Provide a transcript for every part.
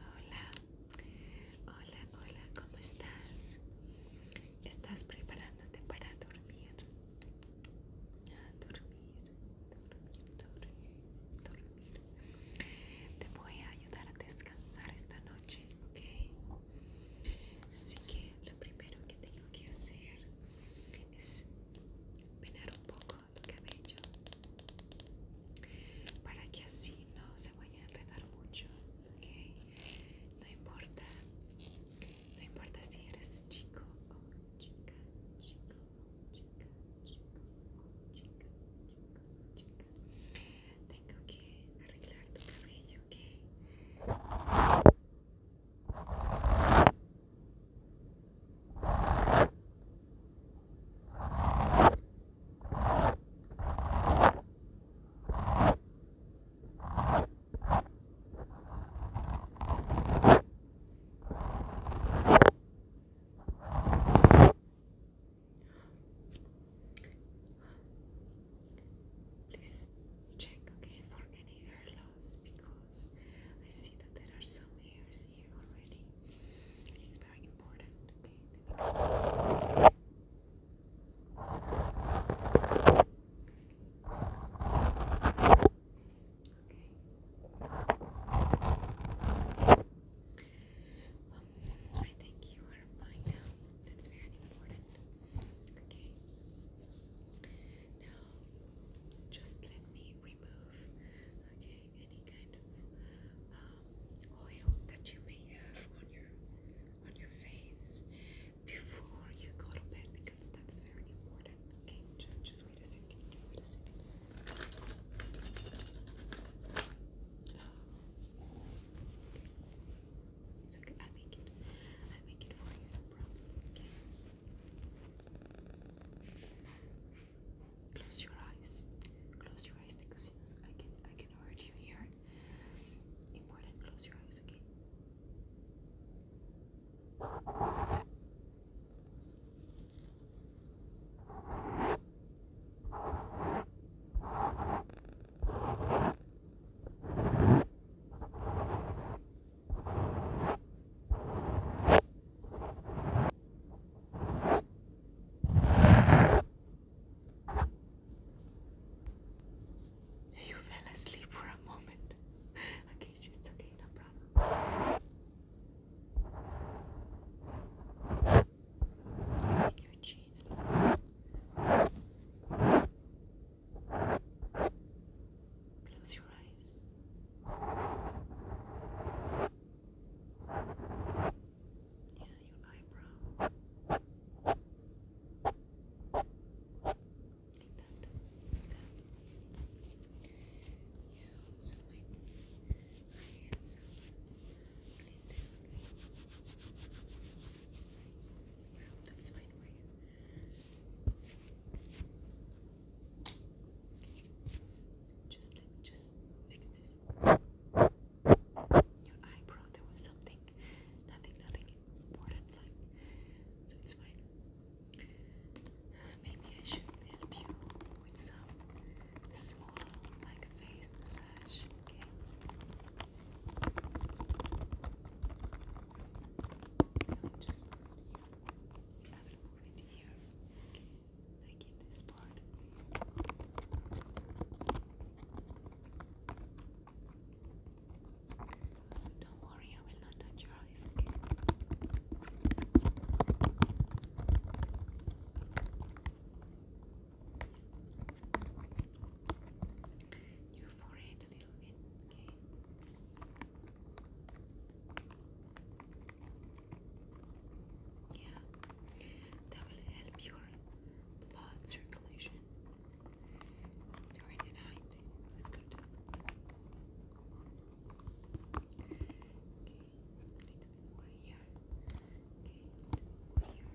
Hola, hola, hola, ¿cómo estás? ¿Estás preparándote para dormir? dormir, dormir, dormir, dormir. Te voy a ayudar a descansar esta noche, ¿ok? Así que lo primero que tengo que hacer es penar un poco tu cabello para que así no se vaya a enredar mucho ¿okay? no importa no importa si eres chico o chica chico o chica chico o chica chico chica tengo que arreglar tu cabello ¿ok? Please check okay for any hair because I see that there are some hairs here already. It's very important, okay? Okay. Um, I think you are fine now. That's very important. Okay. Now, just let me remove okay any kind of um, oil that you may have on your on your face before you go to bed because that's very important. Okay, just just wait a second. Okay, wait a second. It's okay. I make it. I make it for you. Okay. Close your eyes. Close your eyes because I can I can hurt you here. Important. Close your eyes, okay? You fell asleep for a moment. okay, just okay, no problem. Take your chin. Good. Close your eyes. Yeah, your eyebrow. Like that. Okay. Yeah, also my, my hands are right there. Well, that's fine for just let me just fix this. Your eyebrow, there was something. Nothing, nothing important like so it's fine. Maybe I should help you with some small like face massage, okay? just put it right here, like in this part. Don't worry, I will not touch your eyes, okay? Your forehead a little bit, okay? Yeah, that will help your blood circulation during the night. It's good. Okay, a little more here. Okay, here.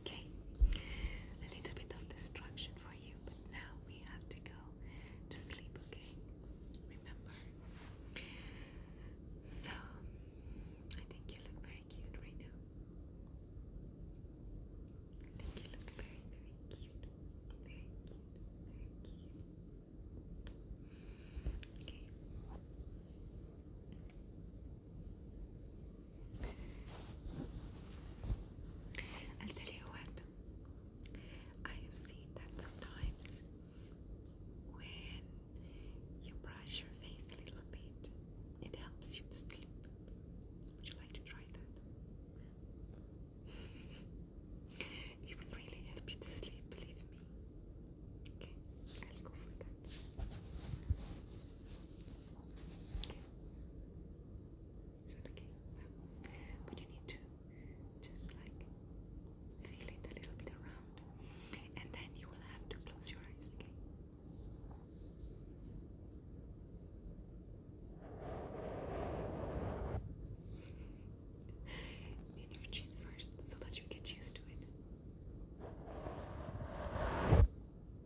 Okay, a little bit of distraction for you, but now we have to go to sleep, okay? Remember? So, I think you look very cute right now. I think you look very, very cute. Very cute, very cute. Okay. I'll tell you what, I have seen that sometimes when you brush your face a little bit, it helps you to sleep. Would you like to try that? it will really help you to sleep, believe me. Okay, I'll go for that. Is that okay? but you need to just like feel it a little bit around, and then you will have to close your eyes. Okay. In your chin first, so that you get used to it.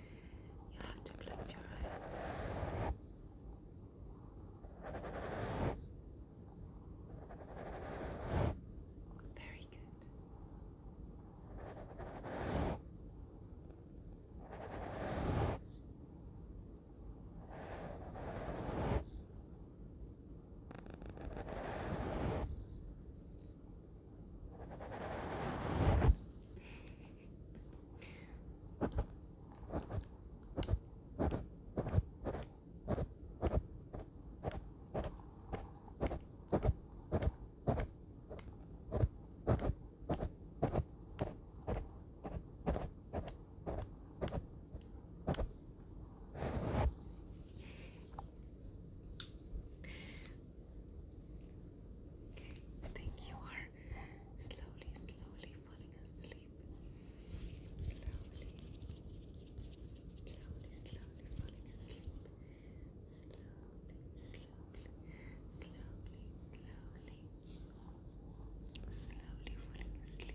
You have to close your eyes. Very good. I think you are slowly, slowly falling asleep. Slowly, slowly, slowly falling asleep. Slowly, slowly, slowly, slowly, slowly falling asleep.